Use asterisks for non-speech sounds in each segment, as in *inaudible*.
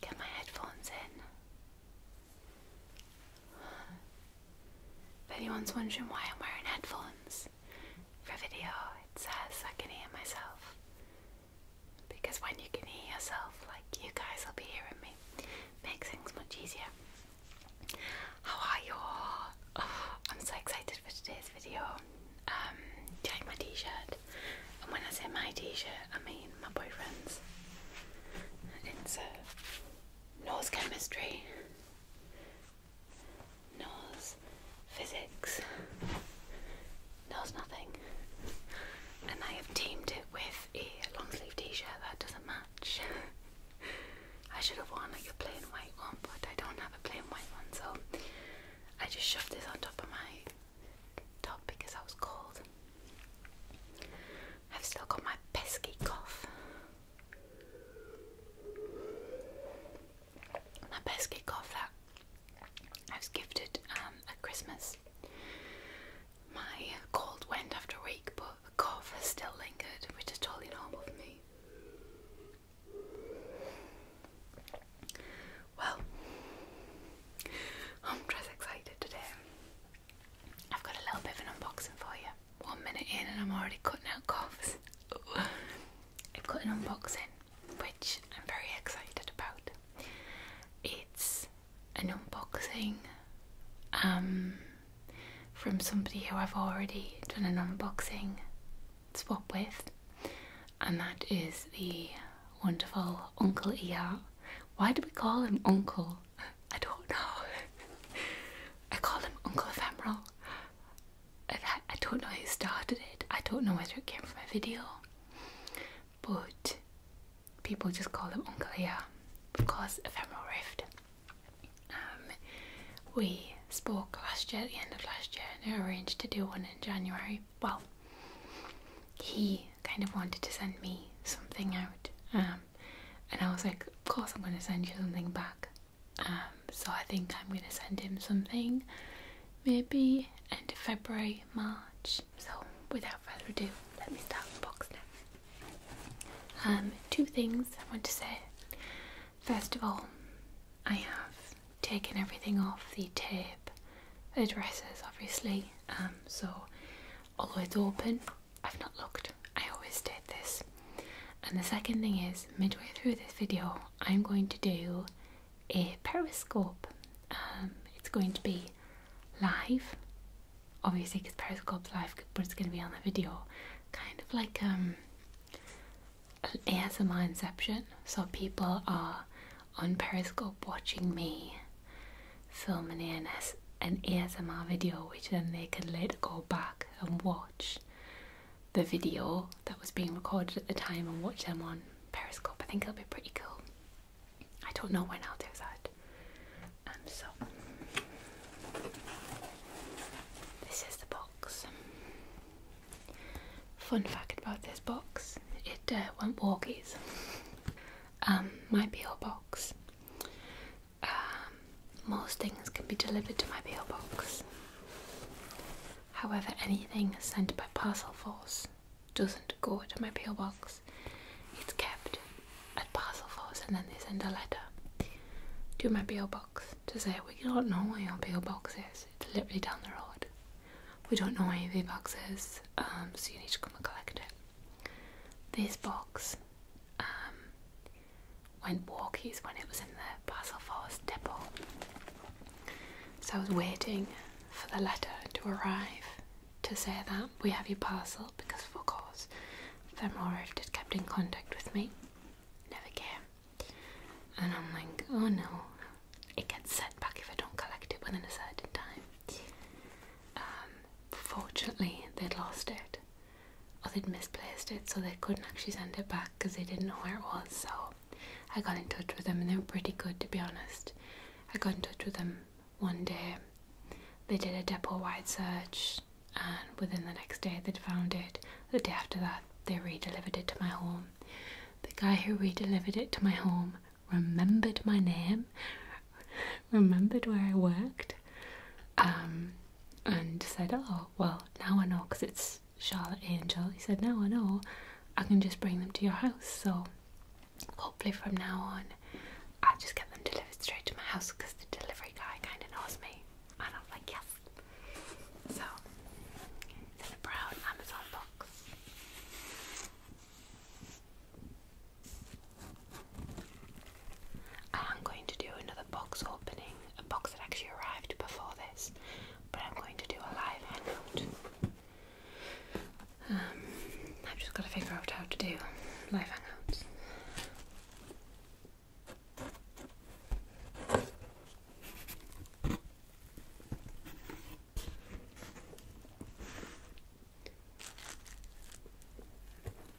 Get my headphones in. If anyone's wondering why I'm wearing headphones for a video, it says I can hear myself. Because when you can hear yourself, like you guys will be hearing me, makes things much easier. How are you *sighs* I'm so excited for today's video. Um, do you my t-shirt? And when I say my t-shirt, I mean my boyfriend's. It's uh, nose chemistry, nose physics, nose nothing. And I have teamed it with a long sleeve t-shirt that doesn't matter. *laughs* I should have worn like a plain white one, but I don't have a plain white one, so I just shoved this on top of my top because I was cold. I've still got my pesky cough. My pesky cough that I was gifted um, at Christmas. My cold went after a week, but the cough has still lingered, which is totally normal for me. Well, I'm just excited today. I've got a little bit of an unboxing for you. One minute in, and I'm already cutting out coughs. I've got an unboxing, which I'm very excited about. It's an unboxing um from somebody who I've already done an unboxing swap with, and that is the wonderful Uncle ER. Why do we call him Uncle? *laughs* I don't know. *laughs* I call him Uncle Ephemeral. I don't know who started it, I don't know whether it came from a video, but people just call him Uncle ER because Ephemeral Rift. Um, we spoke last year, at the end of last year, and arranged to do one in January. Well, he kind of wanted to send me something out, um, and I was like, Of course, I'm going to send you something back. Um, so I think I'm going to send him something maybe end of February, March. So, without further ado, let me start unboxing it. Um, two things I want to say. First of all, I have taken everything off the tape addresses, obviously. Um, so although it's open, I've not looked. I always did this. And the second thing is, midway through this video, I'm going to do a periscope. Um, it's going to be live, obviously, because periscope's live, but it's going to be on the video kind of like an um, ASMR inception. So people are on Periscope watching me film an, ANS, an ASMR video, which then they can later go back and watch the video that was being recorded at the time and watch them on Periscope. I think it'll be pretty cool. I don't know when I'll do that. Um, so this is the box. Fun fact about this box it uh, won't walkies. Um, my PO box. Um, most things can be delivered to my PO box. However, anything sent by parcel force doesn't go to my PO box. It's kept at parcel force, and then they send a letter to my PO box to say we don't know where your PO box is. It's literally down the road. We don't know where your PO box is, um, so you need to come and collect it. This box um, went walkies when it was in the parcel Forest depot. So I was waiting for the letter to arrive to say that we have your parcel because, of course, if it's kept in contact with me never care. And I'm like, oh no, it gets sent back if I don't collect it within a certain time. Um, fortunately, they'd lost it or they'd misplaced it, so they couldn't actually send it back because they didn't know where it was. So I got in touch with them, and they were pretty good to be honest. I got in touch with them one day. They did a depot wide search, and within the next day they'd found it. The day after that, they re delivered it to my home. The guy who re delivered it to my home remembered my name, *laughs* remembered where I worked, um, and said, Oh, well, now I know because it's Charlotte Angel. He said, Now I know I can just bring them to your house. So hopefully, from now on, i just get them delivered straight to my house because the delivery guy kind of knows me. And I'm like, Yes, so, it's a brown Amazon box. I am going to do another box opening, a box that actually arrived before this, but I'm going to do a live hangout. Um, I've just got to figure out how to do live hangouts.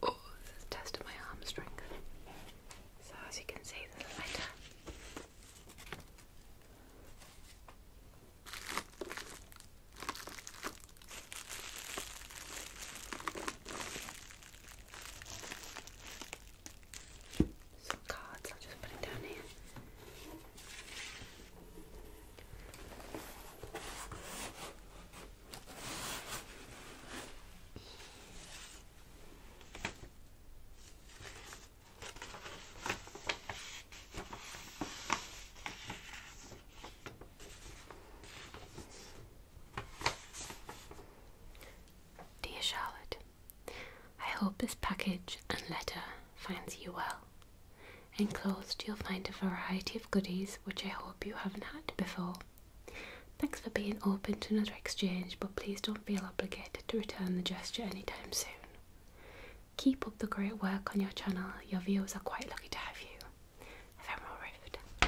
Oh, test of my arm strength. So, as you can see, the lighter. Some cards, I'll just put it down here. Dear Charlotte, I hope this package and letter finds you well. Enclosed, you'll find a variety of goodies which I hope you haven't had before. Thanks for being open to another exchange, but please don't feel obligated to return the gesture anytime soon. Keep up the great work on your channel, your viewers are quite lucky to have you. Ephemeral Rift.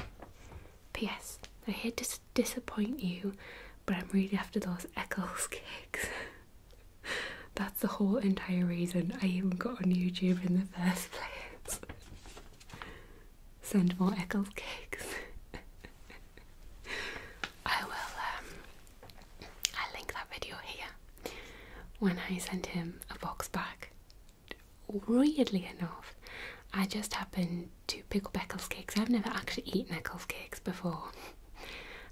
P.S. I hate to disappoint you, but I'm really after those Eccles *laughs* cakes. That's the whole entire reason I even got on YouTube in the first place. Send more Eccles cakes. *laughs* I will, um, i link that video here when I sent him a box back. Weirdly enough, I just happened to pickle pickles cakes. I've never actually eaten Eccles cakes before.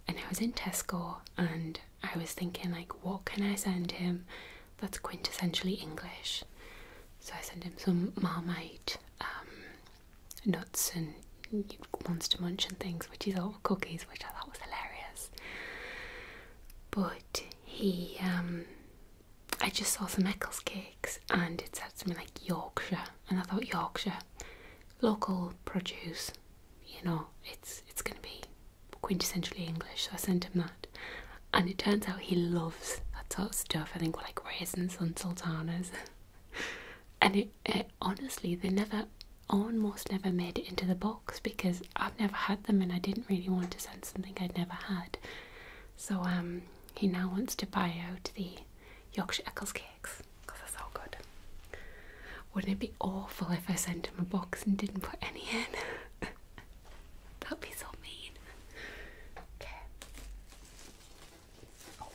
And I was in Tesco and I was thinking like what can I send him that's quintessentially English. So I sent him some marmite um, nuts and monster munch and things which he thought were cookies which I thought was hilarious. But he um, I just saw some Eccles cakes and it said something like Yorkshire, and I thought Yorkshire, local produce, you know, it's it's going to be quintessentially English. So I sent him that, and it turns out he loves that sort of stuff. I think like raisins *laughs* and sultanas, and it honestly they never, almost never made it into the box because I've never had them and I didn't really want to send something I'd never had. So um he now wants to buy out the Yorkshire Eccles cakes because they're so good. Wouldn't it be awful if I sent him a box and didn't put any in? *laughs* That'd be so mean. Oh,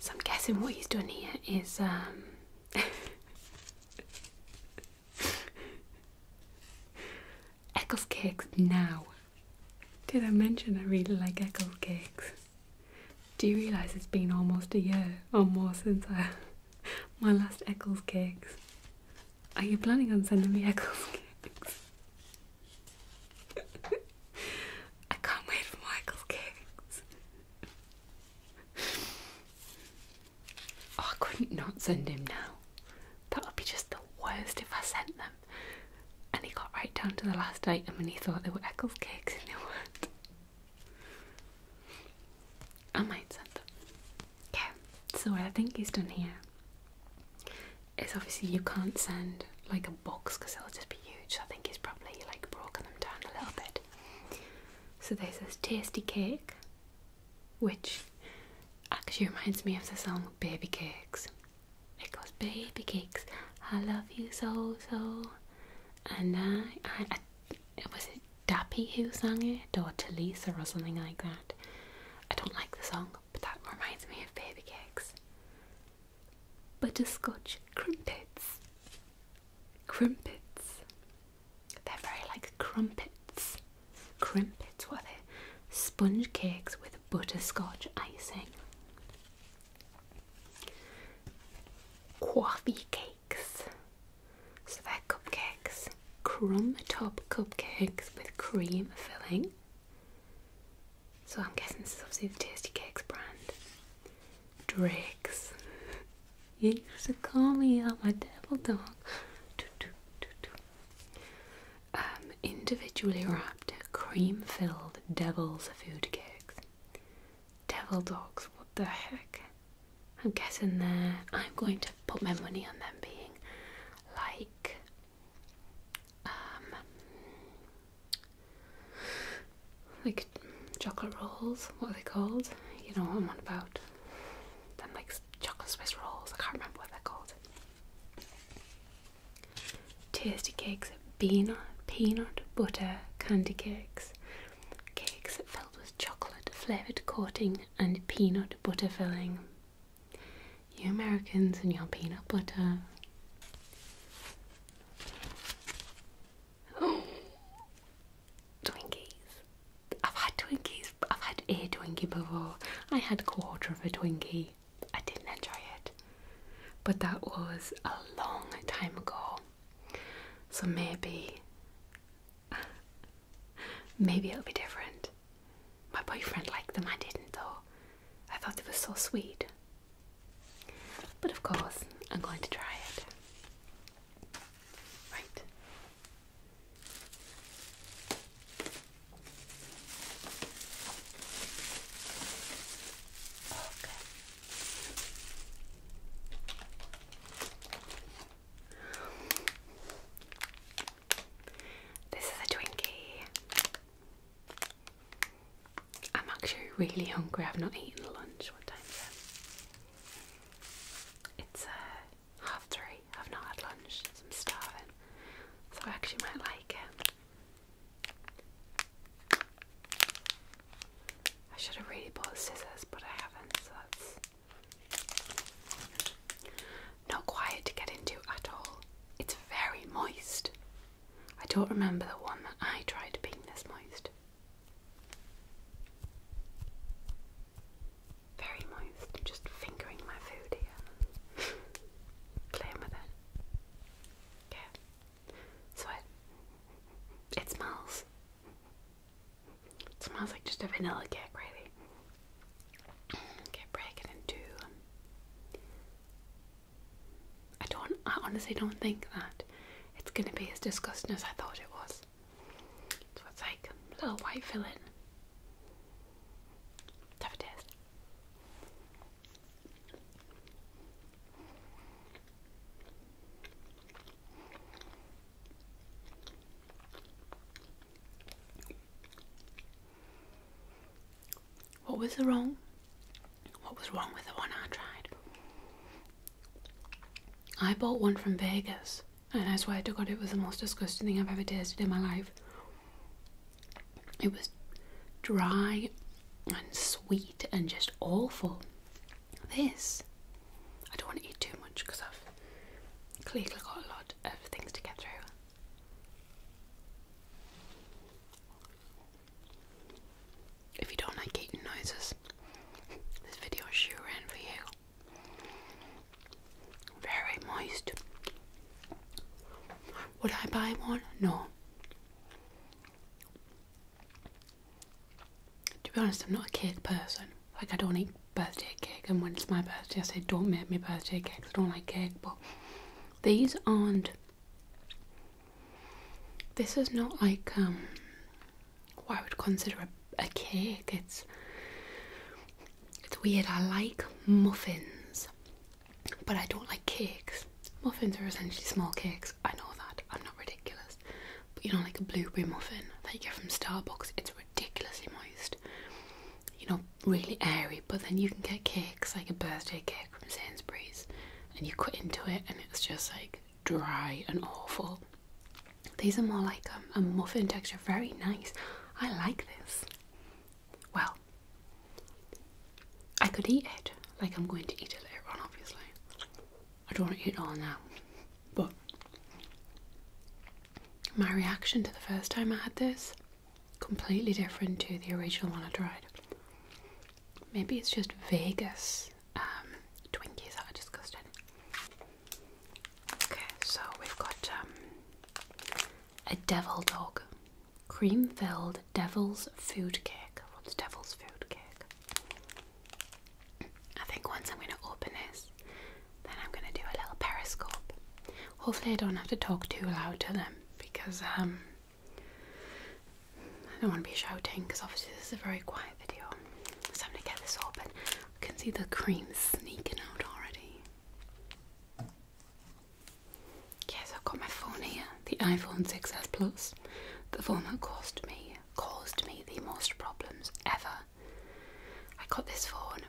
so I'm guessing what he's done here is um, *laughs* Eccles cakes now. Did I mention I really like Eccles cakes? Do you realise it's been almost a year or more since I, *laughs* my last Eccles cakes? Are you planning on sending me Eccles cakes? *laughs* I can't wait for my cakes. Oh, I couldn't not send him now. That would be just the worst if I sent them. And he got right down to the last item and he thought they were Eccles cakes and they weren't. I might send them. Okay, so what I think he's done here is obviously you can't send like a box because it'll just be huge. I think he's probably like broken them down a little bit. So there's this tasty cake which actually reminds me of the song Baby Cakes. It goes, Baby Cakes, I love you so, so. And I, I, was it Dappy who sang it, or Teresa or something like that? I don't like the song, but that reminds me of Baby Cakes. Butterscotch Crimpets. Crimpets. They're very like crumpets. Crimpets what are they? Sponge cakes with butterscotch icing. Coffee cakes. So they're cupcakes. Crumb top cupcakes with cream filling. So I'm guessing this is obviously the Tasty Cakes brand. Drakes. *laughs* You used to call me out my devil dog. *laughs* Um, individually wrapped cream filled devil's food cakes. Devil dogs, what the heck? I'm getting there. I'm going to put my money on them being like um like chocolate rolls, what are they called? You know what I'm on about. Them like chocolate Swiss rolls, I can't remember what they're called. Tasty cakes, peanut, peanut butter candy cakes, cakes filled with chocolate flavoured coating and peanut butter filling. You Americans and your peanut butter. Oh, *gasps* Twinkies. I've had Twinkies, I've had a Twinkie before. I had a quarter of a Twinkie. I didn't enjoy it, but that was a long time ago. So maybe, *laughs* maybe it'll be different. My boyfriend liked them, I didn't though. I thought they were so sweet. But of course, I'm going to try it. Right, this is a Twinkie. I'm actually really hungry. I've not eaten lunch. What time is it? It's uh, half three. I've not had lunch, I'm starving. So I actually might like it. I should have really bought scissors, but I haven't, so that's not quiet to get into at all. It's very moist. I don't remember the one that I tried being this moist. Very moist. I'm just fingering my food here. Playing with it. Yeah. So it, smells. It smells like just a vanilla cake, really. Okay, break it in two. I don't, I honestly don't think that it's gonna be as disgusting as I thought it was. So it's like a little white filling. Let's What was wrong? What was wrong with the one I tried? I bought one from Vegas, and I swear to God, it was the most disgusting thing I've ever tasted in my life. It was dry and sweet and just awful. This, I don't want to eat too much because I've clearly got a lot of things to get through. If you don't like eating noises, this video is sure in for you. Very moist. Would I buy one? No. To be honest, I'm not a cake person. Like, I don't eat birthday cake, and when it's my birthday, I say, don't make me birthday cake. I don't like cake, but these aren't. This is not like um, what I would consider a cake. It's it's weird, I like muffins, but I don't like cakes. Muffins are essentially small cakes, I know that, I'm not ridiculous. But you know, like a blueberry muffin that you get from Starbucks, it's ridiculously moist. You know, really airy, but then you can get cakes, like a birthday cake from Sainsbury's, and you cut into it and it's just like dry and awful. These are more like a, um, a muffin texture, very nice. I like this. Well, I could eat it, like I'm going to eat it later on, obviously. I don't want to eat it all now, but my reaction to the first time I had this completely different to the original one I tried. Maybe it's just Vegas um, Twinkies that are disgusting. Okay, so we've got um, a devil dog, cream filled devil's food cake. What's devil's food cake? I think once I'm going to open this, then I'm going to do a little periscope. Hopefully, I don't have to talk too loud to them because um, I don't want to be shouting because obviously, this is a very quiet video. So, i to get this open. I can see the cream sneaking out already. Yes, I've got my phone here, the iPhone 6s Plus, the phone that cost me caused me the most problems ever. I got this phone.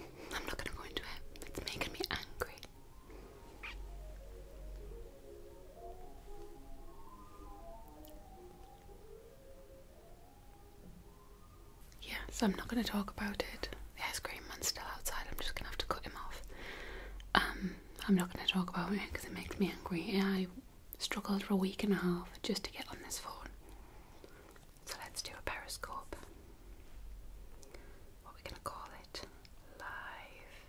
I'm not going to go into it. It's making me angry. Yeah, so I'm not going to talk about it. The ice cream man's still outside. I'm just going to have to cut him off. Um, I'm not going to talk about it because it makes me angry. I struggled for a week and a half just to get on this phone. So let's do a periscope. What are we going to call it? Live.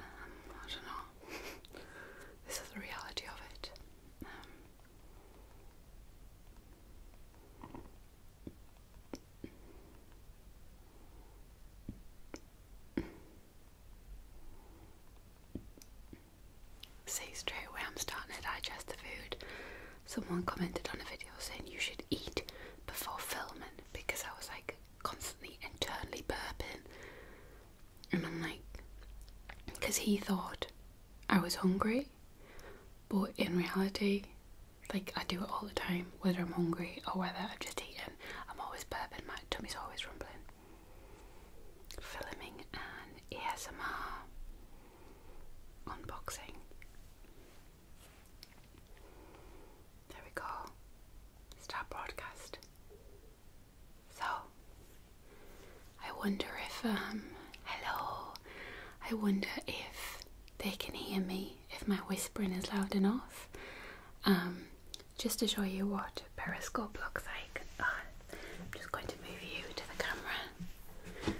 Um, I don't know. *laughs* this is the reality of it. See straight away I'm starting to digest the food. Someone commented on a video saying you should eat before filming because I was like constantly internally burping and I'm like because he thought I was hungry, but in reality, like I do it all the time, whether I'm hungry or whether i am just eating, I'm always burping, my tummy's always rumbling. Filming an ASMR unboxing. There we go. Start broadcast. So, I wonder if, um, hello, I wonder if they can hear me, if my whispering is loud enough. Um, just to show you what Periscope looks like, uh, I'm just going to move you to the camera.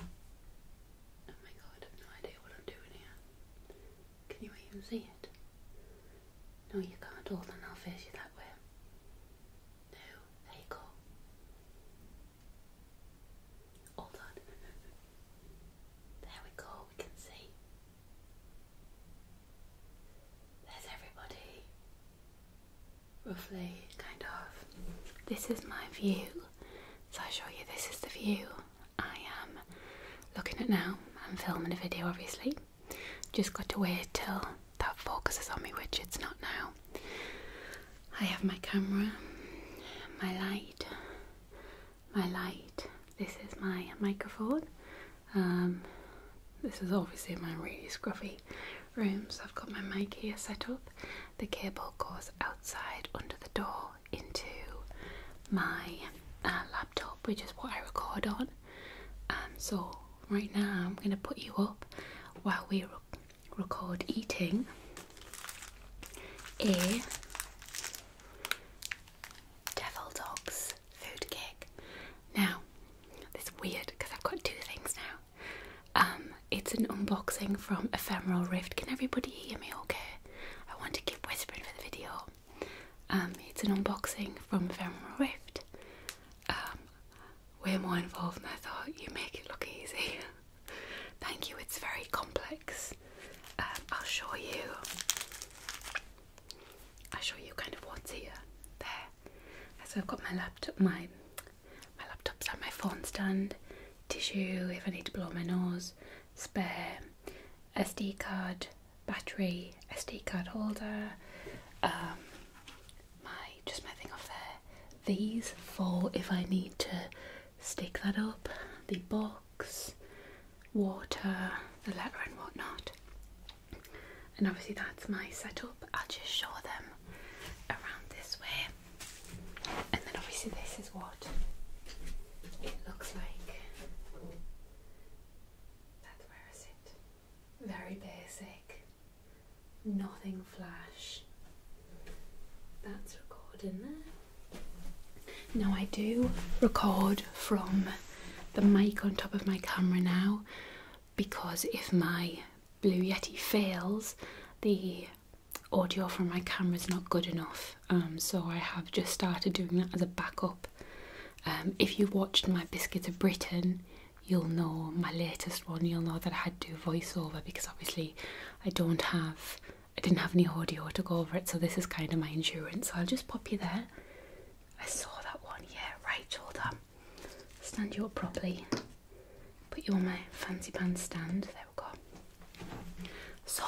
Oh my god, I have no idea what I'm doing here. Can you even see it? No, you can't. Hold on, I'll face you that way. No, there you go. All done. there we go, we can see. There's everybody. Roughly, kind of. This is my view. So I show you this is the view I am looking at now. I'm filming a video obviously. Just got to wait till that focuses on me, which it's not now. I have my camera, my light, my light. This is my microphone. Um, this is obviously my really scruffy room, so I've got my mic here set up. The cable goes outside under the door into my uh, laptop, which is what I record on. Um, so right now I'm going to put you up while we are record eating a Devil Dogs food cake. Now, this is weird because I've got two things now. Um, it's an unboxing from Ephemeral Rift. Can everybody hear me okay? I want to keep whispering for the video. Um, it's an unboxing from Ephemeral Rift um, we're more involved and I thought you make it look easy. *laughs* Thank you, it's very complex. Um, I'll show you. I'll show you kind of what's here. There. So I've got my laptop, my my laptop's on my phone stand, tissue if I need to blow my nose, spare, SD card, battery, SD card holder, um, my just my thing off there. These for if I need to stick that up, the box, water, the letter and whatnot. And obviously that's my setup. I'll just show them around this way. And then obviously this is what it looks like. That's where I sit. Very basic nothing flash. That's recording there. Now I do record from the mic on top of my camera now because if my Blue Yeti fails, the audio from my camera is not good enough. Um, so I have just started doing that as a backup. Um, if you watched my Biscuits of Britain, you'll know my latest one, you'll know that I had to do voiceover because obviously I don't have, I didn't have any audio to go over it, so this is kind of my insurance. I'll just pop you there. I saw that one, yeah, right, hold on. Stand you up properly. Put you on my fancy band stand. There we go. So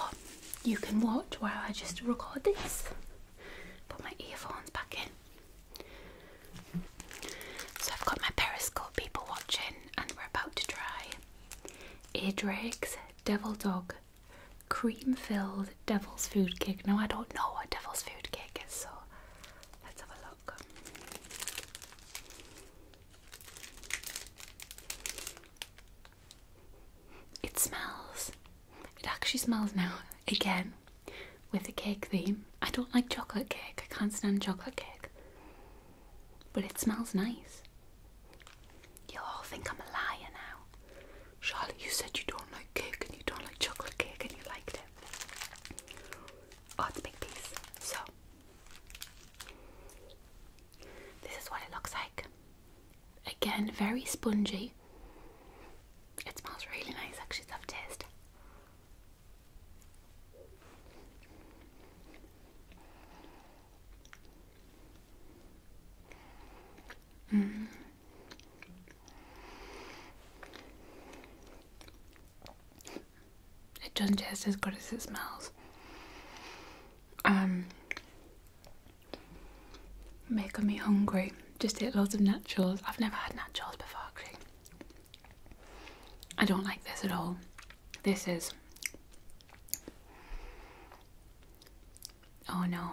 you can watch while I just record this. Put my earphones back in. So I've got my Periscope people watching, and we're about to try Adrake's Devil Dog Cream Filled Devil's Food Cake. No, I don't know what Devil's Food Cake is, so let's have a look. It smells. It actually smells now *laughs* again with a cake theme. I don't like chocolate cake, I can't stand chocolate cake. But it smells nice. You all think I'm a liar now. Charlotte, you said you don't like cake and you don't like chocolate cake and you liked it. Oh, it's a big piece. So, this is what it looks like. Again, very spongy. It smells really nice, actually, it's have taste. Mm. It doesn't taste as it smells. Um, making me hungry. Just ate lots of nachos. I've never had nachos before, actually. I don't like this at all. This is. Oh no.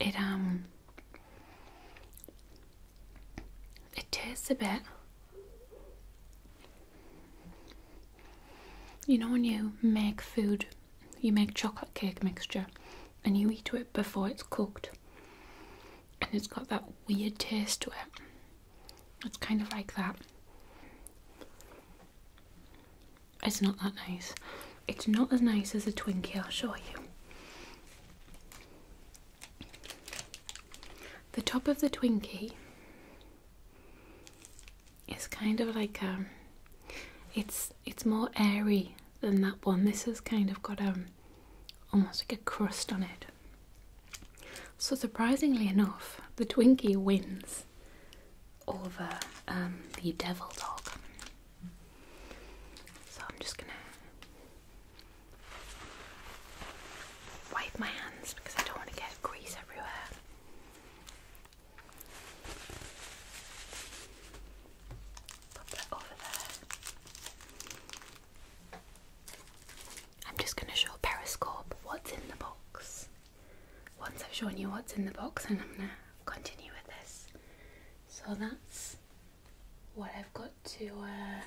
It, um. It tastes a bit. You know when you make food, you make chocolate cake mixture and you eat it before it's cooked and it's got that weird taste to it. It's kind of like that. It's not that nice. It's not as nice as a Twinkie, I'll show you. The top of the Twinkie It's kind of like um it's it's more airy than that one. This has kind of got um almost like a crust on it. So surprisingly enough, the Twinkie wins over um, the Devil Dog. So I'm just gonna wipe my hands because I don't want to get grease everywhere. Put that over there. I'm just going to show Periscope what's in the box. Once I've shown you what's in the box, and I'm going to continue with this. So that's what I've got to uh,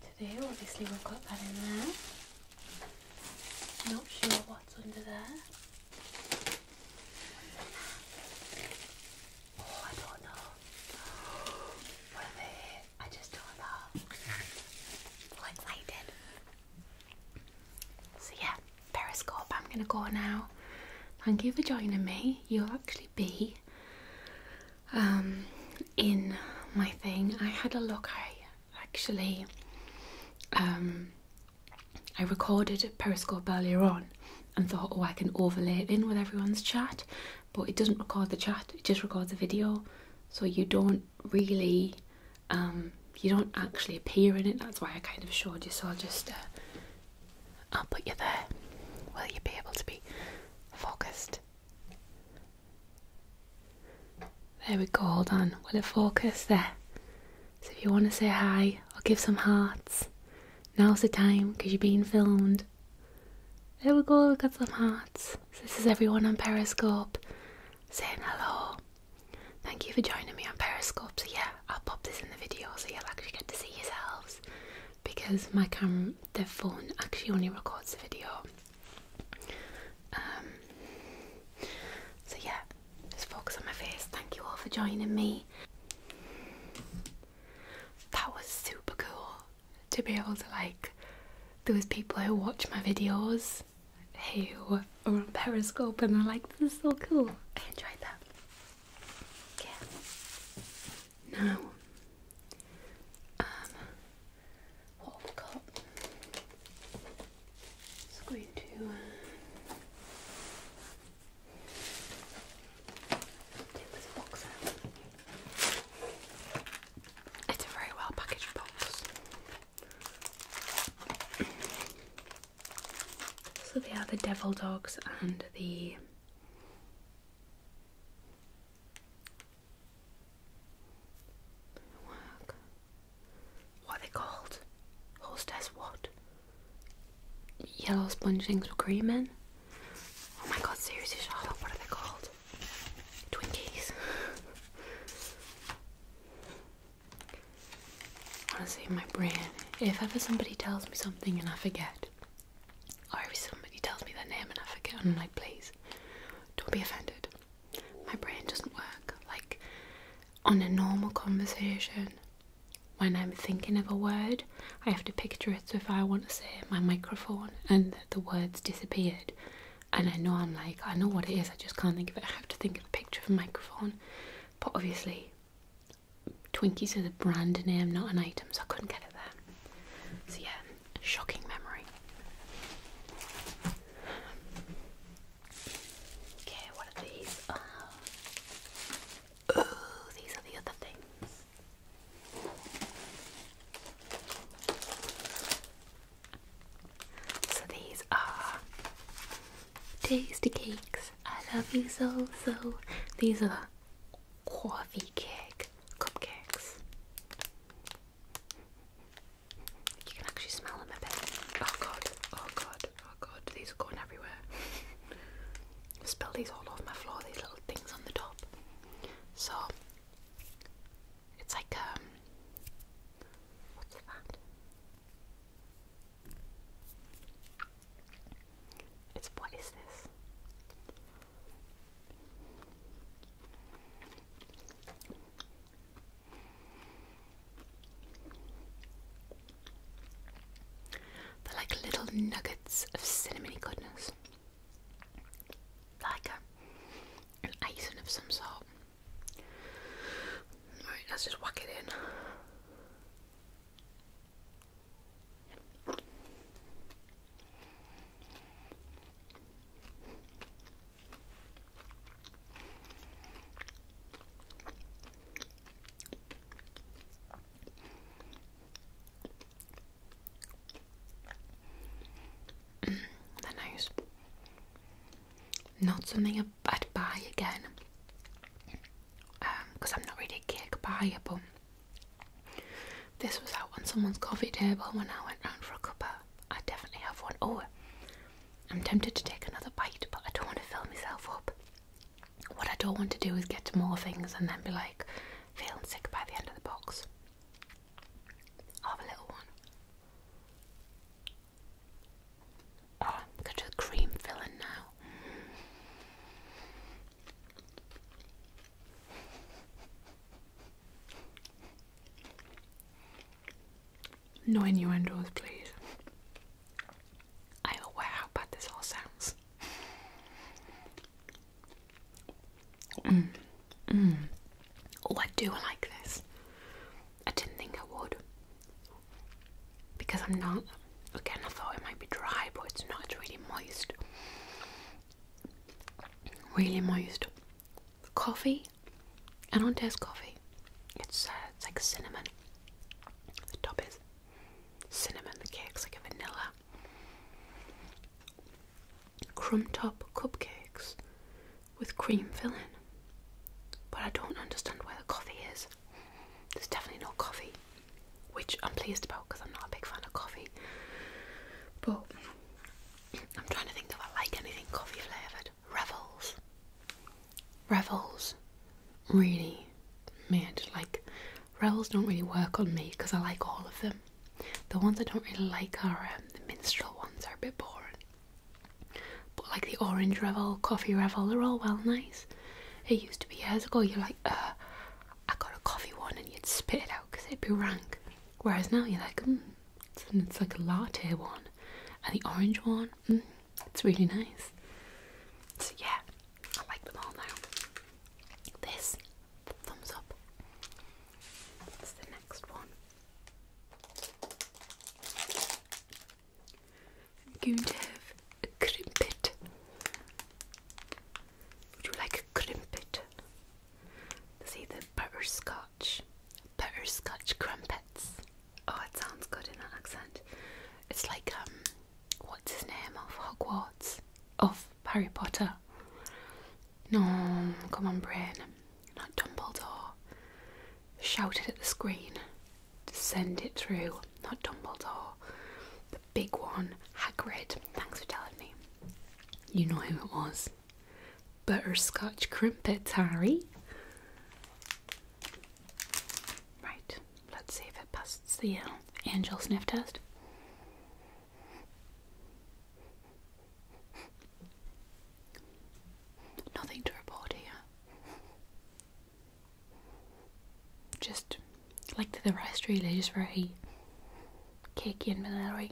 to do. Obviously, we've got that in there. Not sure what's under there. Oh, I don't know. What if it, I just don't know. I'm excited. So yeah, Periscope, I'm gonna go now. Thank you for joining me. You'll actually be um in my thing. I had a look. I actually um I recorded Periscope earlier on, and thought, oh, I can overlay it in with everyone's chat, but it doesn't record the chat, it just records the video, so you don't really, um, you don't actually appear in it. That's why I kind of showed you. So I'll just, uh, I'll put you there. Will you be able to be focused? There we go. Hold on. Will it focus there? So if you want to say hi or give some hearts, now's the time because you're being filmed. There we go, we got some hearts. This is everyone on Periscope saying hello. Thank you for joining me on Periscope. So yeah, I'll pop this in the video so you'll actually get to see yourselves because my camera, the phone actually only records the video. Um, so yeah, just focus on my face. Thank you all for joining me. That was super cool to be able to like those people who watch my videos who are on Periscope and are like, this is so cool. I enjoyed that. Yeah. Now um what we got? Just going to uh, it's a very well packaged box. So they are the devil dogs and the What are they called? Hostess what? Yellow sponging things with Oh my god, seriously, what are they called? Twinkies. Honestly, my brain, if ever somebody tells me something and I forget, or if somebody tells me their name and I forget, I'm like, please, don't be offended. My brain doesn't work. Like, on a normal conversation, when I'm thinking of a word, I have to picture it, so if I want to say my microphone and the words disappeared, and I know I'm like, I know what it is, I just can't think of it. I have to think of a picture of a microphone, but obviously, Twinkies is a brand name, not an item, so I couldn't get it there. So, yeah, shocking memory. Okay, what are these? oh these are the other things. So these are tasty cakes. I love you so so. These are coffee cake cupcakes. You can actually smell them a bit. Oh god, oh god, oh god, these are going everywhere. *laughs* Spill these all over my floor, these little things on the top. So it's like um what's that? It's what is this? They're like little nuggets of cinnamon goodness like a, an icing of some sort. Right, let's just whack it in. Mm, nice. Not something I'd buy again. Because um, I'm not really a cake buyer, but this was out on someone's coffee table when I went round for a cuppa. I definitely have one. Oh, I'm tempted to take another bite, but I don't want to fill myself up. What I don't want to do is get more things and then be like, feeling sick by the end of the box. I'll have a little one. Oh, go to cream filling now. No innuendos, please. I am aware how bad this all sounds. Mm. Mm. Oh, I do like this. I didn't think I would. Because I'm not. Again, I thought it might be dry, but it's not. really moist. Really moist. Coffee. I don't taste coffee. It's, uh, it's like cinnamon. The top is cinnamon. The cake is like a vanilla crumb top cupcakes with cream filling. But I don't understand where the coffee is. There's definitely no coffee, which I'm pleased about because I'm not a big fan of coffee. But I'm trying to think if I like anything coffee flavoured. Revels. Revels really made like Rebels don't really work on me because I like all of them. The ones I don't really like are um, the minstrel ones are a bit boring. But like the orange revel, coffee revel, they're all well nice. It used to be years ago, you're like, uh, I got a coffee one and you'd spit it out because it'd be rank. Whereas now you're like, mm, it's, it's like a latte one. And the orange one, mm, it's really nice. So yeah, I like them all now. This thumbs up. What's the next one? I'm going to have a crumpet. Would you like a crumpet? See the butter scotch, butter scotch crumpets. Oh, it sounds good in that accent. It's like um, what's his name of Hogwarts? Of Harry Potter. No, come on, brain. Not Dumbledore. Shout it at the screen. Send it through. Not Dumbledore. The big one, Hagrid. Thanks for telling me. You know who it was. Butterscotch Crimpet, Harry. Right, let's see if it passes the uh, angel sniff test. Nothing to report here. Just like the rest, really, just very cakey and vanilla.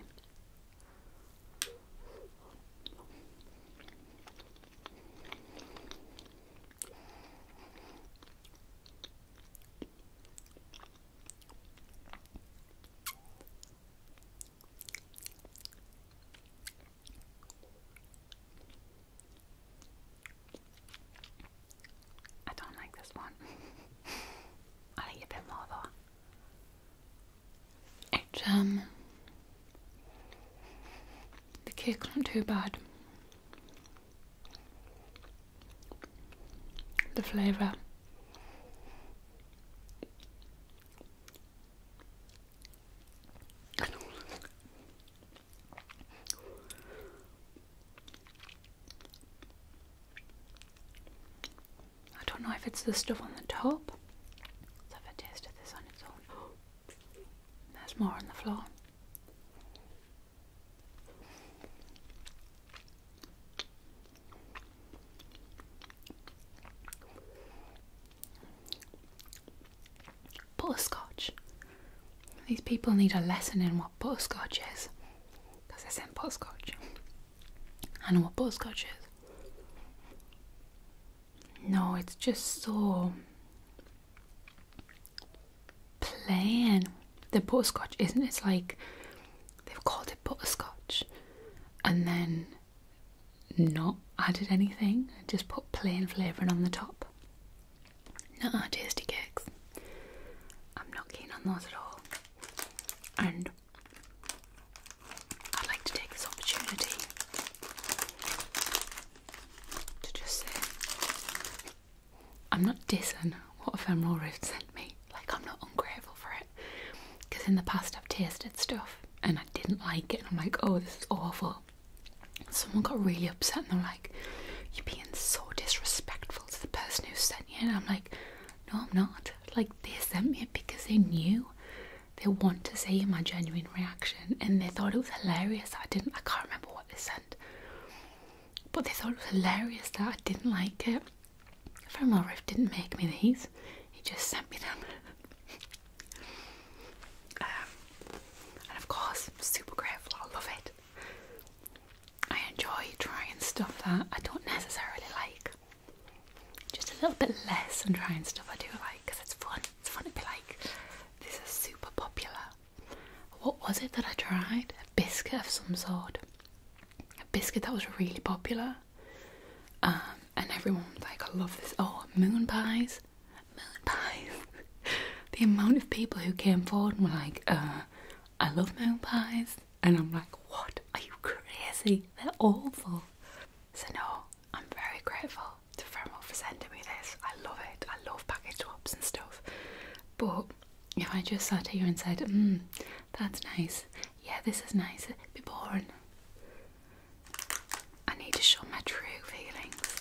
I don't like this one. *laughs* I like it a bit more though. It um the kick's not too bad the flavor. I don't know if it's the stuff on the top. Let's have a taste of this on its own. *gasps* There's more on the floor. Butterscotch. These people need a lesson in what butterscotch is. Because they sent butterscotch. I know what butterscotch is. No, it's just so plain. The butterscotch isn't. It's like they've called it butterscotch and then not added anything, just put plain flavouring on the top. Not our tasty cakes. I'm not keen on those at all. And I'd like to take this opportunity to just say I'm not dissing what Ephemeral Rift sent me. Like, I'm not ungrateful for it. Because in the past, I've tasted stuff and I didn't like it, and I'm like, oh, this is awful. Someone got really upset, and they're like, you're being so disrespectful to the person who sent you. And I'm like, no, I'm not. Like, they sent me it because they knew they want to see my genuine reaction, and they thought it was hilarious I didn't. I can't remember what they sent, but they thought it was hilarious that I didn't like it. Fernwell didn't make me these, he just sent me them. *laughs* Um, and of course, I'm super grateful, I love it. I enjoy trying stuff that I don't necessarily like. Just a little bit less than trying stuff I do like because it's fun. It's fun to be like, this is super popular. What was it that I tried? A biscuit of some sort a biscuit that was really popular. Um, and everyone was like, I love this. Oh, moon pies. Moon pies. *laughs* the amount of people who came forward and were like, uh, I love moon pies. And I'm like, what? Are you crazy? They're awful. So, no, I'm very grateful to Fremel for sending me this. I love it. I love package swaps and stuff. But if I just sat here and said, hmm, that's nice, yeah, this is nice, it'd be boring. I need to show my true feelings.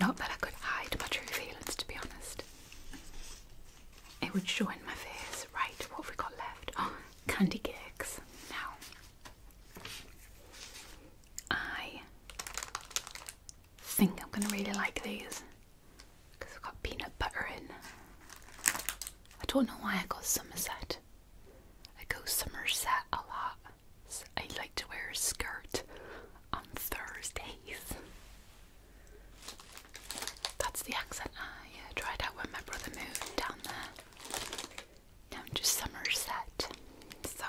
Not that I could hide my true feelings, to be honest. It would show in my face. Right, what have we got left? Oh, candy cakes. Now, I think I'm going to really like these because I've got peanut butter in. I don't know why I got Somerset. I go Somerset a lot. I like to wear a skirt on Thursdays. That's the accent I uh, tried out when my brother moved down there. Now I'm just Somerset. So,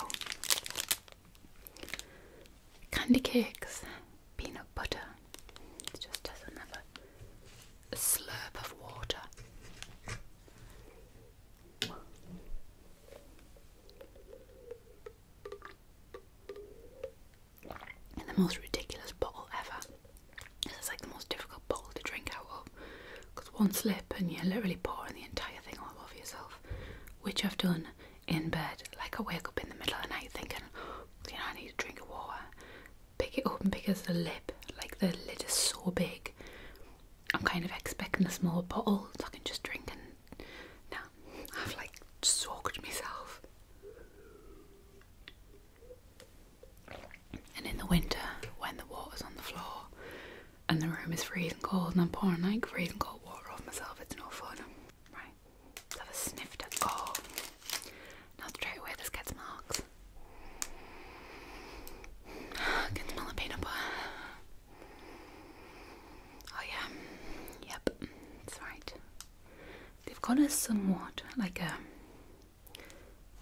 candy cakes peanut butter. It just has another slurp of water. in the most ridiculous bottle ever. This is like the most difficult bottle to drink out of because one slip and you're literally pouring the entire thing all over yourself, which I've done in bed. Like I wake up in the middle of the night thinking, you know, I need a drink of water pick it open because the lip, like the lid is so big. I'm kind of expecting a small bottle so I can just drink and now I've like soaked myself. And in the winter, when the water's on the floor and the room is freezing cold and I'm pouring like freezing cold water off myself, it's no fun. Right. Let's have a sniff Oh, now straight away this gets marks. can smell the peanut butter. Oh yeah, yep, that's right. They've got a somewhat like a.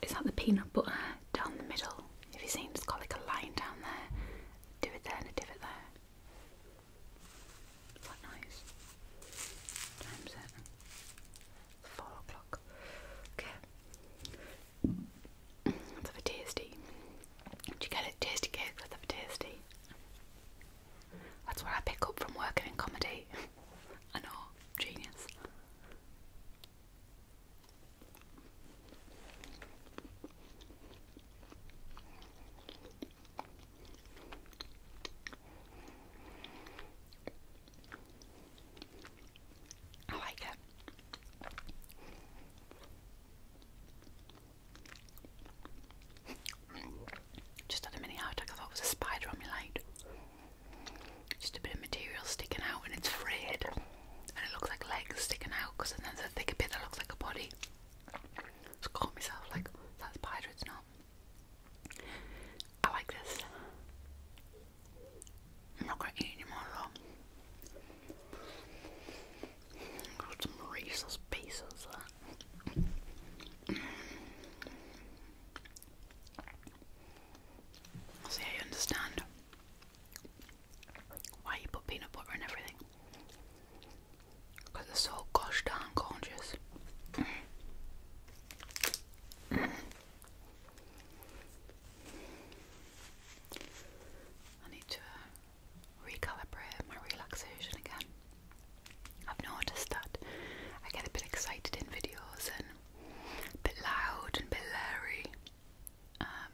Is that the peanut butter down the middle. If you've seen, it's got like a line down there. Do it there and do it there. quite nice. Times it four o'clock. Okay. let a tasty. Do you get it? Tasty cake, let a tasty. That's what I pick up from working in comedy. I know, genius. I like it. Just had a mini heart attack, I thought it was a spider on my leg. Just a bit of material sticking out and it's frayed. And it looks like legs sticking out because then there's a thicker bit that looks like a body. Just caught myself like, is a spider? It's not. I like this. I'm not gonna eat anymore Got some racist pieces. That. See, I understand why you put peanut butter in everything. Because they're gosh darn gorgeous. I need to recalibrate my relaxation again. I've noticed that I get a bit excited in videos and a bit loud and a bit leery. Um,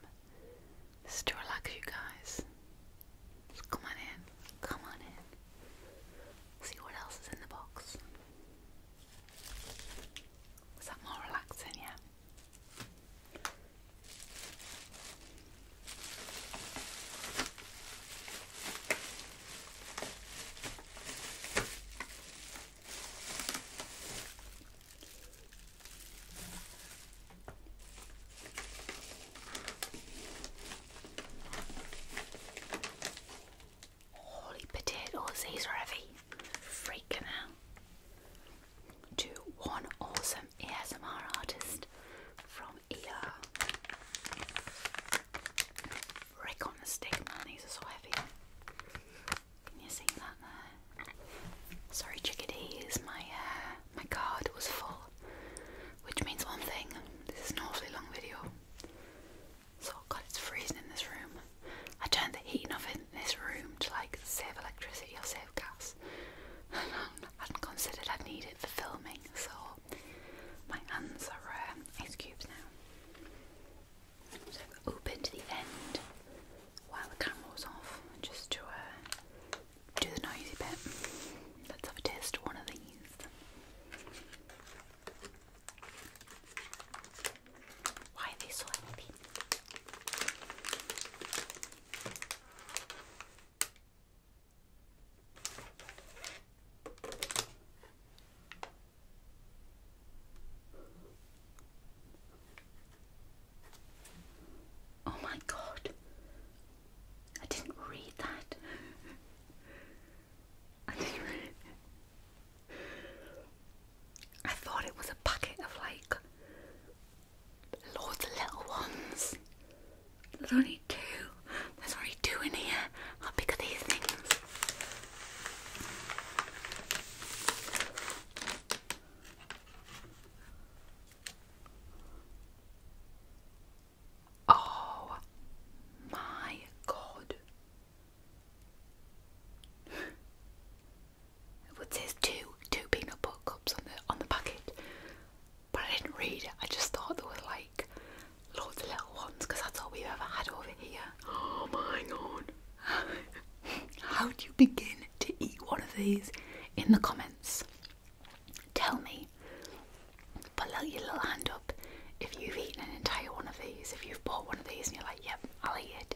this is to relax you guys. come on in, come on in. See what else is in the box. Was that more relaxing? Yeah. Holy potatoes, these are heavy. Freaking out. To one awesome ASMR artist from ER. Rick on the stick, man, these are so heavy. Can you see that there? Sorry, chickadees, my uh, my card was full, which means one thing. This is an awfully long video. So oh God, it's freezing in this room. I turned the heating off in this room to like save electricity or save gas. I hadn't considered I'd need it for filming, so my hands are um, ice cubes now. So i opened the end while the camera was off, just to uh, do the noisy bit. Let's have a taste one of these. Why are they so empty? Oh, my God, I didn't read that. *laughs* I thought it was a packet of like loads little ones. only two. There's only two in here. How big are these things? Oh my god it says two two peanut butter cups on the on the packet, but I didn't read it. I just thought there were like loads of little ones because that's all we've ever had over here. Oh my god! *laughs* How do you begin to eat one of these? In the comments, tell me. Put like, your little hand up. If you've eaten an entire one of these, if you've bought one of these and you're like, yep, I'll eat it,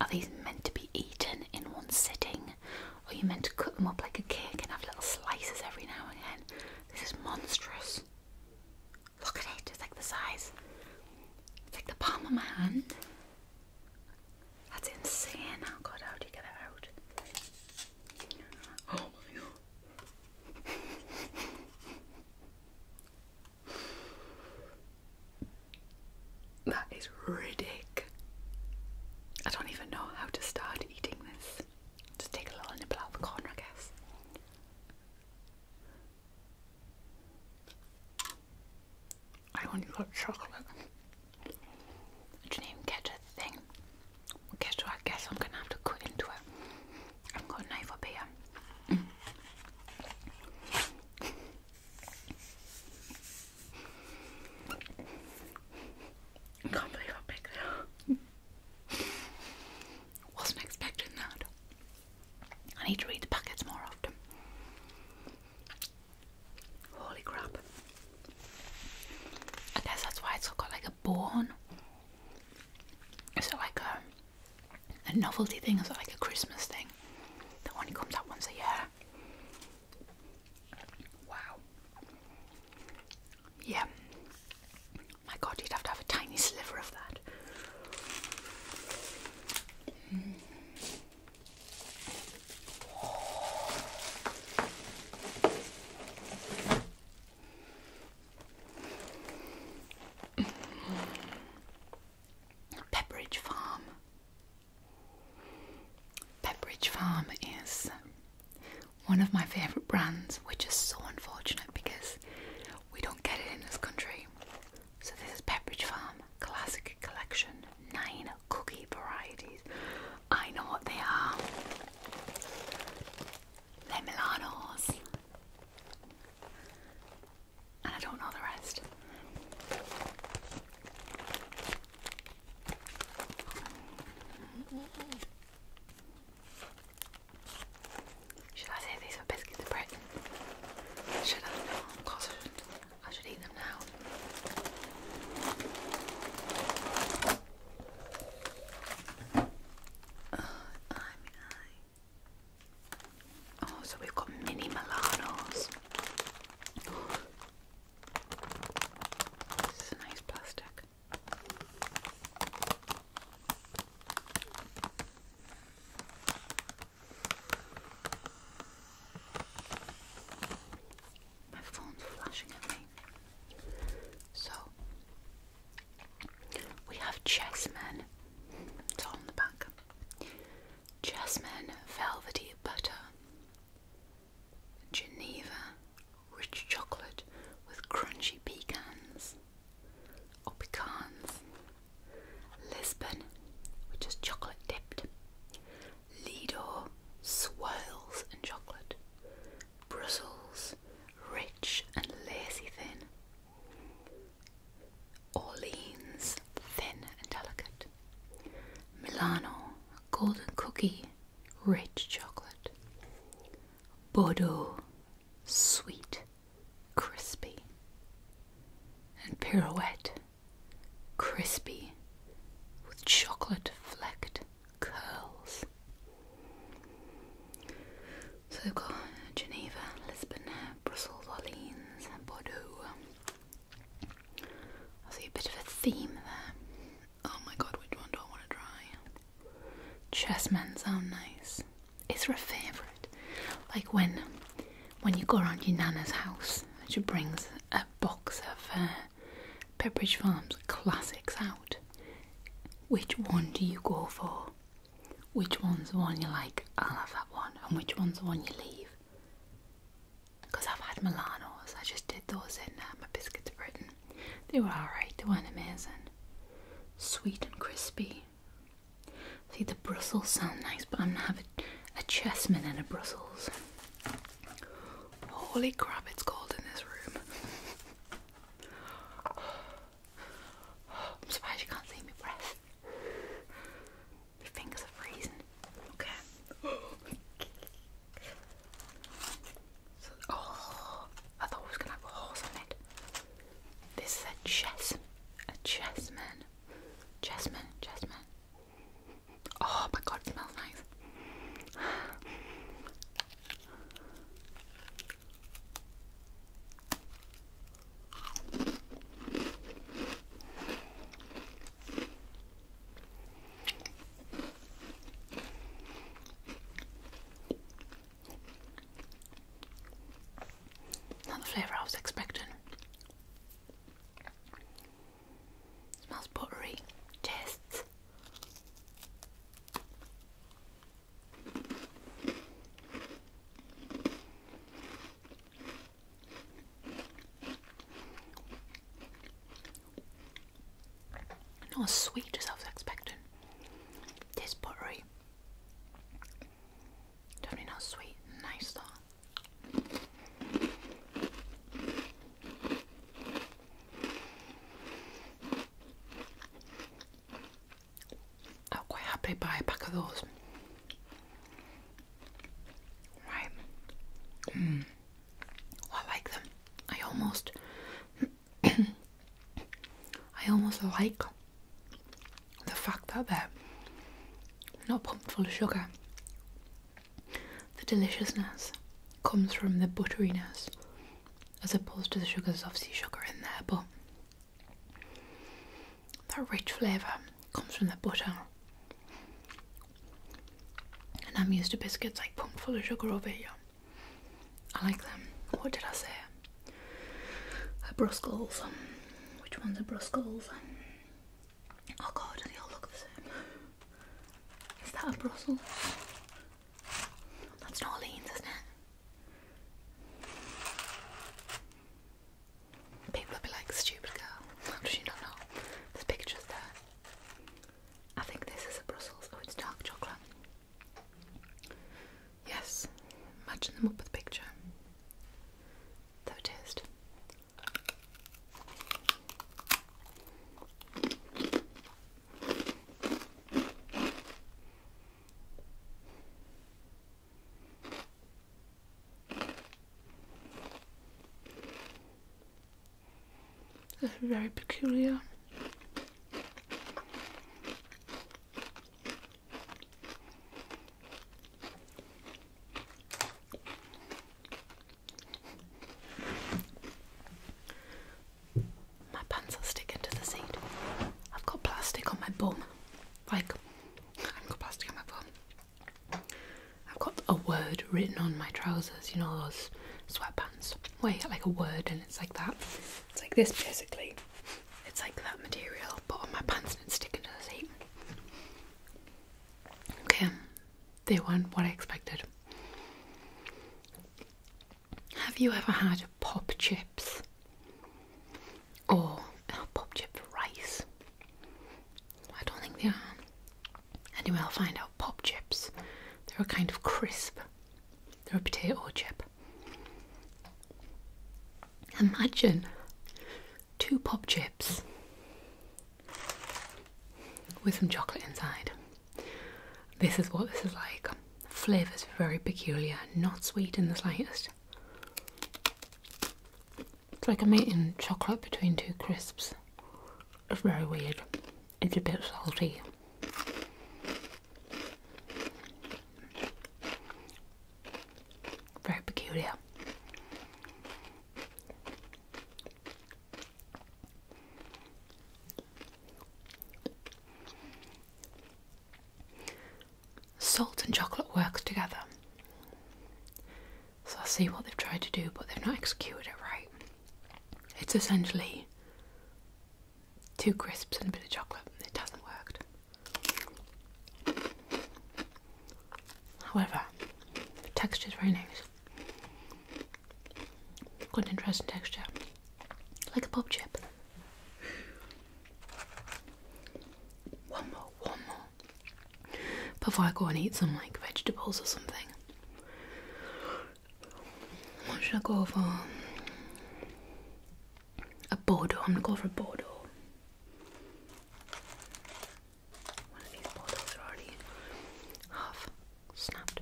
are these meant to be eaten in one sitting? Or are you meant to cut them up like a cake and have little slices every now and again? This is monstrous. Look at it, it's like the size, it's like the palm of my hand. That's insane. Oh god, how do you get it out? *gasps* Oh my god. That is ridic. I don't even know how to start eating this. Just take a little nibble out the corner, I guess. I only got chocolate. I didn't even get a thing. Guess what? I guess I'm gonna have to cut into it. I've got a knife up here. can't believe how big they are. Wasn't expecting that. I need to read the packets more often. Holy crap. I guess that's why it's got like a bone it's like um, a, novelty thing, it's like a Christmas thing that only comes out once a year. Wow. Yeah. My god, you'd have to have a tiny sliver of that. *clears throat* Pepperidge Farm. Pepperidge Farm is one of my favourite brands, We're just so unfortunate because we don't get it in this country. So, this is Pepperidge Farm Classic Collection, nine cookie varieties. I know what they are. Le Milanos. And I don't know the rest. Should I say these are biscuits of Should I? of course I should eat them now. I Oh, so we've got mini Milanos. This a nice plastic. My phone's flashing at me. So, we have Chessmen. It's on the back. Chessmen Velvety Butter. Geneva Rich Chocolate with Crunchy Pecans. Or pecans. Lisbon, which is chocolate dipped. Lido swirls and chocolate. Brussels, rich and lazy thin. Orleans, thin and delicate. Milano, golden cookie, rich chocolate. Bordeaux, sweet, crispy. And pirouette, crispy, with chocolate flecked curls. So we've got Geneva, Lisbon, Brussels, Orleans, Bordeaux. I see a bit of a theme there. Oh my god, which one do I want to try? Chessmen sound nice. It's a favourite. Like when when you go around your nana's house, she brings a box of uh, Pepperidge Farm's classics out. Which one do you go for? which one's the one you like, I'll have that one, and which one's the one you leave. Because I've had Milanos, I just did those in uh, my Biscuits Britain. They were alright, they weren't amazing. Sweet and crispy. See, the Brussels sound nice, but I'm gonna have a, a chessman and a Brussels. Holy crap, it's cold in this room. I'm surprised you can't see me breath. My fingers are freezing. Okay. *gasps* oh, I thought I was gonna have horse on it. This is a chess, a chessman, chessman, chessman. Oh my god, it smells nice. Not the flavour I was expecting. Smells buttery, tastes not as sweet as I was expecting. This buttery. Don't sweet, nice though. I'm quite happy buy a pack of those. Right. Hmm. I like them. I almost, *coughs* I almost like the fact that they're not pumped full of sugar. The deliciousness comes from the butteriness, as opposed to the sugars. There's obviously sugar in there, but that rich flavour comes from the butter. And I'm used to biscuits like pumped full of sugar over here. I like them. What did I say? A Bruscals. Which one's are Bruscals? Oh god, they all look the same. Is that a Brussels? That's not Orleans, isn't it? People will be like, stupid girl, how does she not know? There's pictures there. I think this is a Brussels. Oh, it's dark chocolate. Yes, imagine them up with the picture. That taste. That's very peculiar. My pants are sticking to the seat. I've got plastic on my bum like I've got plastic on my phone. I've got a word written on my trousers, you know those sweatpants where like a word and it's like that. It's like this basically. It's like that material, Put on my pants and it's sticking to the seat. Okay, they weren't what I expected. Have you ever had pop chips? or pop chip rice. I don't think they are. Anyway, I'll find out. Pop chips, they're a kind of crisp, they're a potato chip. Imagine two pop chips with some chocolate inside. This is what this is like. Flavor is very peculiar, not sweet in the slightest. It's like I'm eating chocolate between two crisps. It's very weird. It's a bit salty. Very peculiar salt and chocolate works together. So I see what they've tried to do, but they've not executed it right. It's essentially two crisps and a bit of chocolate. It hasn't worked. However, the texture is very nice. Good interesting texture. Like a pop chip. One more, one more. Before I go and eat some like vegetables or something. What should I go for? A Bordeaux. I'm gonna go for a Bordeaux. One of these Bordeaux are already half snapped.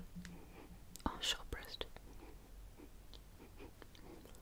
Oh, short breast.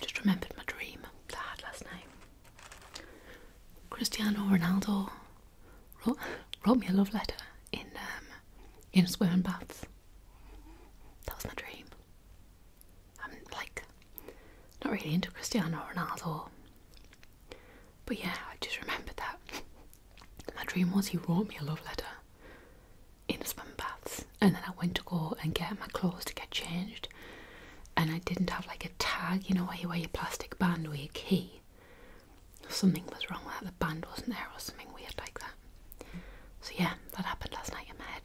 Just remembered my dream that had last night. Cristiano Ronaldo wrote, wrote me a love letter in um, in swimming baths. That was my dream. I'm like not really into Cristiano Ronaldo, but yeah, I just remembered that. My dream was he wrote me a love letter in the swim baths and then I went to go and get my clothes to get changed and I didn't have like a tag, you know, where you wear your plastic band or your key. Something was wrong with that, the band wasn't there or something weird like that. So yeah, that happened last night in my head.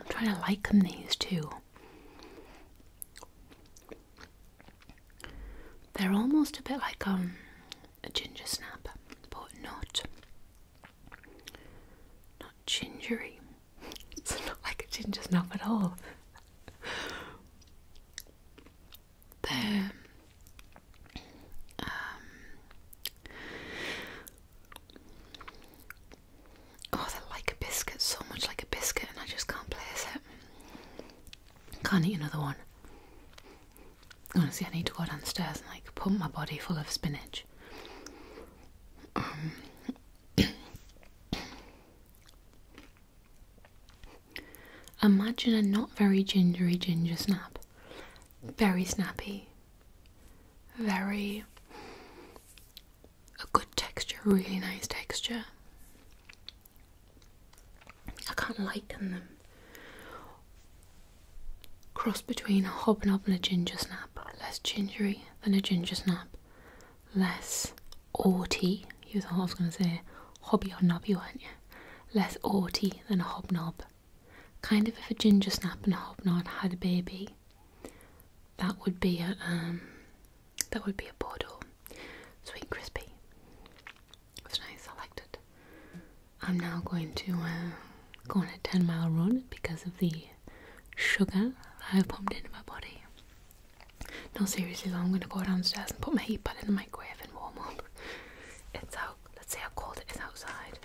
I'm trying to liken these two. They're almost a bit like um, a ginger snap, but not not gingery. *laughs* It's not like a ginger snap at all. *laughs* They're um, oh, they're like a biscuit, so much like a biscuit, and I just can't place it. Can't eat another one. Honestly, I need to go downstairs and like pump my body full of spinach. Um, Imagine a not very gingery ginger snap. Very snappy. Very. a good texture, really nice texture. I can't liken them. Cross between a hobnob and a ginger snap. Less gingery than a ginger snap. Less orty. You thought I was going to say hobby or nobby, weren't you? less orty than a hobnob. Kind of if a ginger snap and a hobnob had a baby, that would be a um, that would be a Bordeaux, sweet crispy. It was nice. I liked it. I'm now going to uh, go on a ten mile run because of the sugar I've pumped into my body. No, seriously, I'm going to go downstairs and put my heat pad in the microwave and warm up. It's out. Let's see how cold it is outside.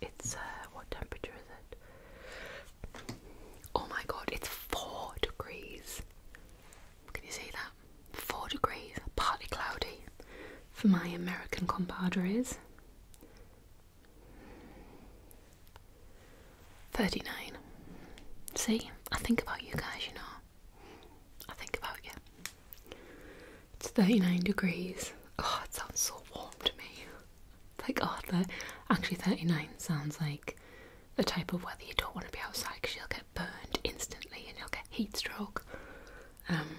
It's uh, what temperature is it? Oh my god, it's four degrees. Can you see that? Four degrees, partly cloudy for my American compadres. 39. See, I think about you guys, you know. I think about you. It's 39 degrees. Oh, it sounds so warm to me. It's like, oh, actually, 39 sounds like the type of weather you don't want to be outside because you'll get burned instantly and you'll get heat stroke. Um,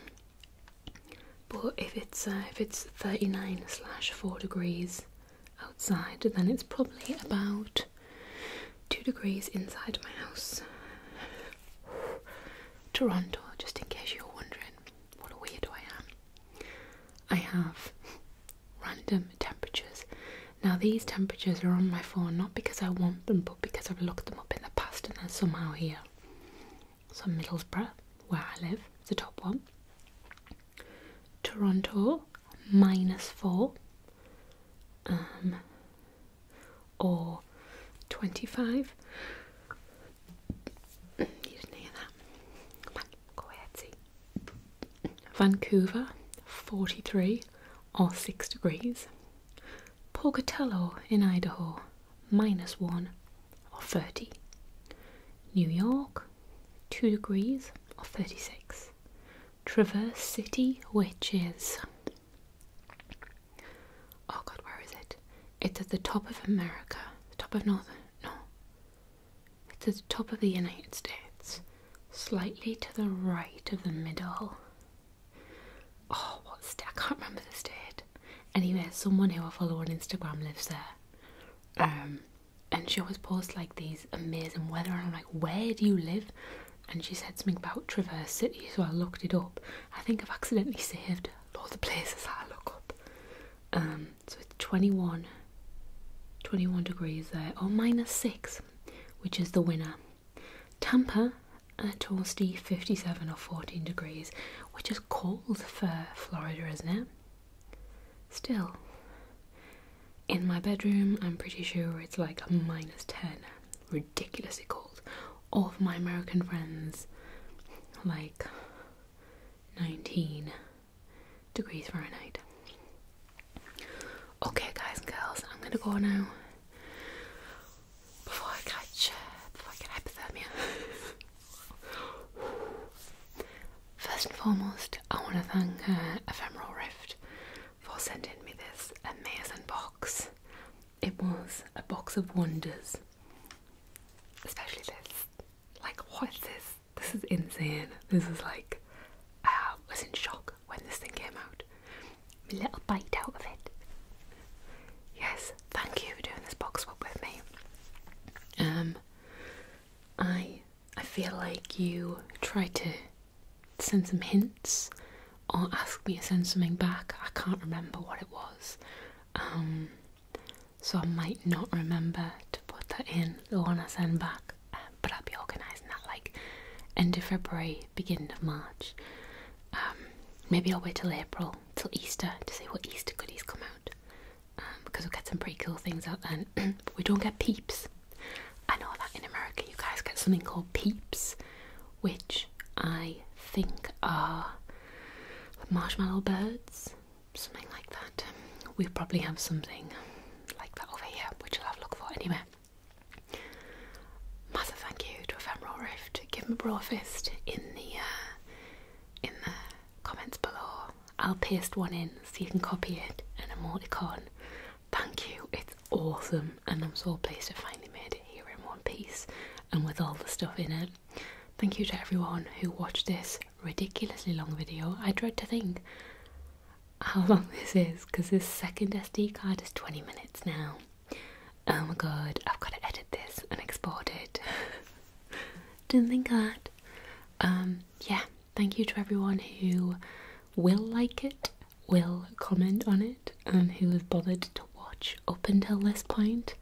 but if it's uh, if it's 39 slash 4 degrees outside, then it's probably about two degrees inside my house. Toronto, just in case you're wondering what a weirdo I am. I have random temperatures. Now, these temperatures are on my phone not because I want them, but because I've looked them up in the past and they're somehow here. So, Middlesbrough, where I live, the top one. Toronto, minus four. Um, or 25. You didn't hear that. Come Vancouver, 43 or 6 degrees. Pocatello in Idaho, minus 1 or 30. New York, 2 degrees or 36. Traverse City, which is Oh God, where is it? It's at the top of America, the top of Northern. No, it's at the top of the United States, slightly to the right of the middle. Oh, what state? I can't remember the state. Anyway, someone who I follow on Instagram lives there. Um, and she always posts like these amazing weather, and I'm like, where do you live? and she said something about Traverse City, so I looked it up. I think I've accidentally saved a of the places that I look up. Um, so it's 21, 21 degrees there, or minus 6, which is the winner. Tampa, a uh, toasty 57 or 14 degrees, which is cold for Florida, isn't it? Still, in my bedroom, I'm pretty sure it's like a minus 10 ridiculously cold. All of my American friends, like 19 degrees Fahrenheit. Okay, guys and girls, I'm gonna go now before I catch, uh, before hypothermia. *laughs* First and foremost, I want to thank uh, Ephemeral Rift for sending me this amazing box. It was a box of wonders, especially this. Like, what is this? This is insane. This is like, I was in shock when this thing came out. A little bite out of it. Yes, thank you for doing this box swap with me. Um, I I feel like you try to send some hints or ask me to send something back. I can't remember what it was. Um, so I might not remember to put that in, the one I send back. Um, but I'll be organising that like end of February, beginning of March. Um, maybe I'll wait till April, till Easter, to see what Easter goodies come out. because we'll get some pretty cool things out then. but *clears throat* we don't get peeps. I know that in America you guys get something called peeps, which I think are marshmallow birds, something like that. We probably have something like that over here, which I'll have a look for anyway. Massive thank you to Ephemeral Rift. Give him a bro fist in the uh, in the comments below. I'll paste one in so you can copy it and multi-con. Thank you, it's awesome, and I'm so pleased to finally made it here in one piece and with all the stuff in it. Thank you to everyone who watched this ridiculously long video. I dread to think how long *laughs* this is because this second SD card is 20 minutes now. Oh my god, I've got to edit this and export it. *laughs* Didn't think of that. Um, yeah, thank you to everyone who will like it, will comment on it and who have bothered to watch up until this point.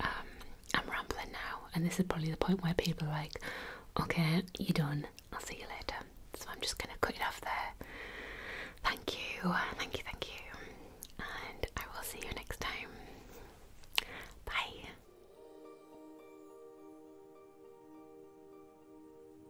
Um, I'm rambling now, and this is probably the point where people are like, okay, you're done, I'll see you later. So I'm just going to cut it off there. Thank you, thank you, thank you, and I will see you next time. Bye.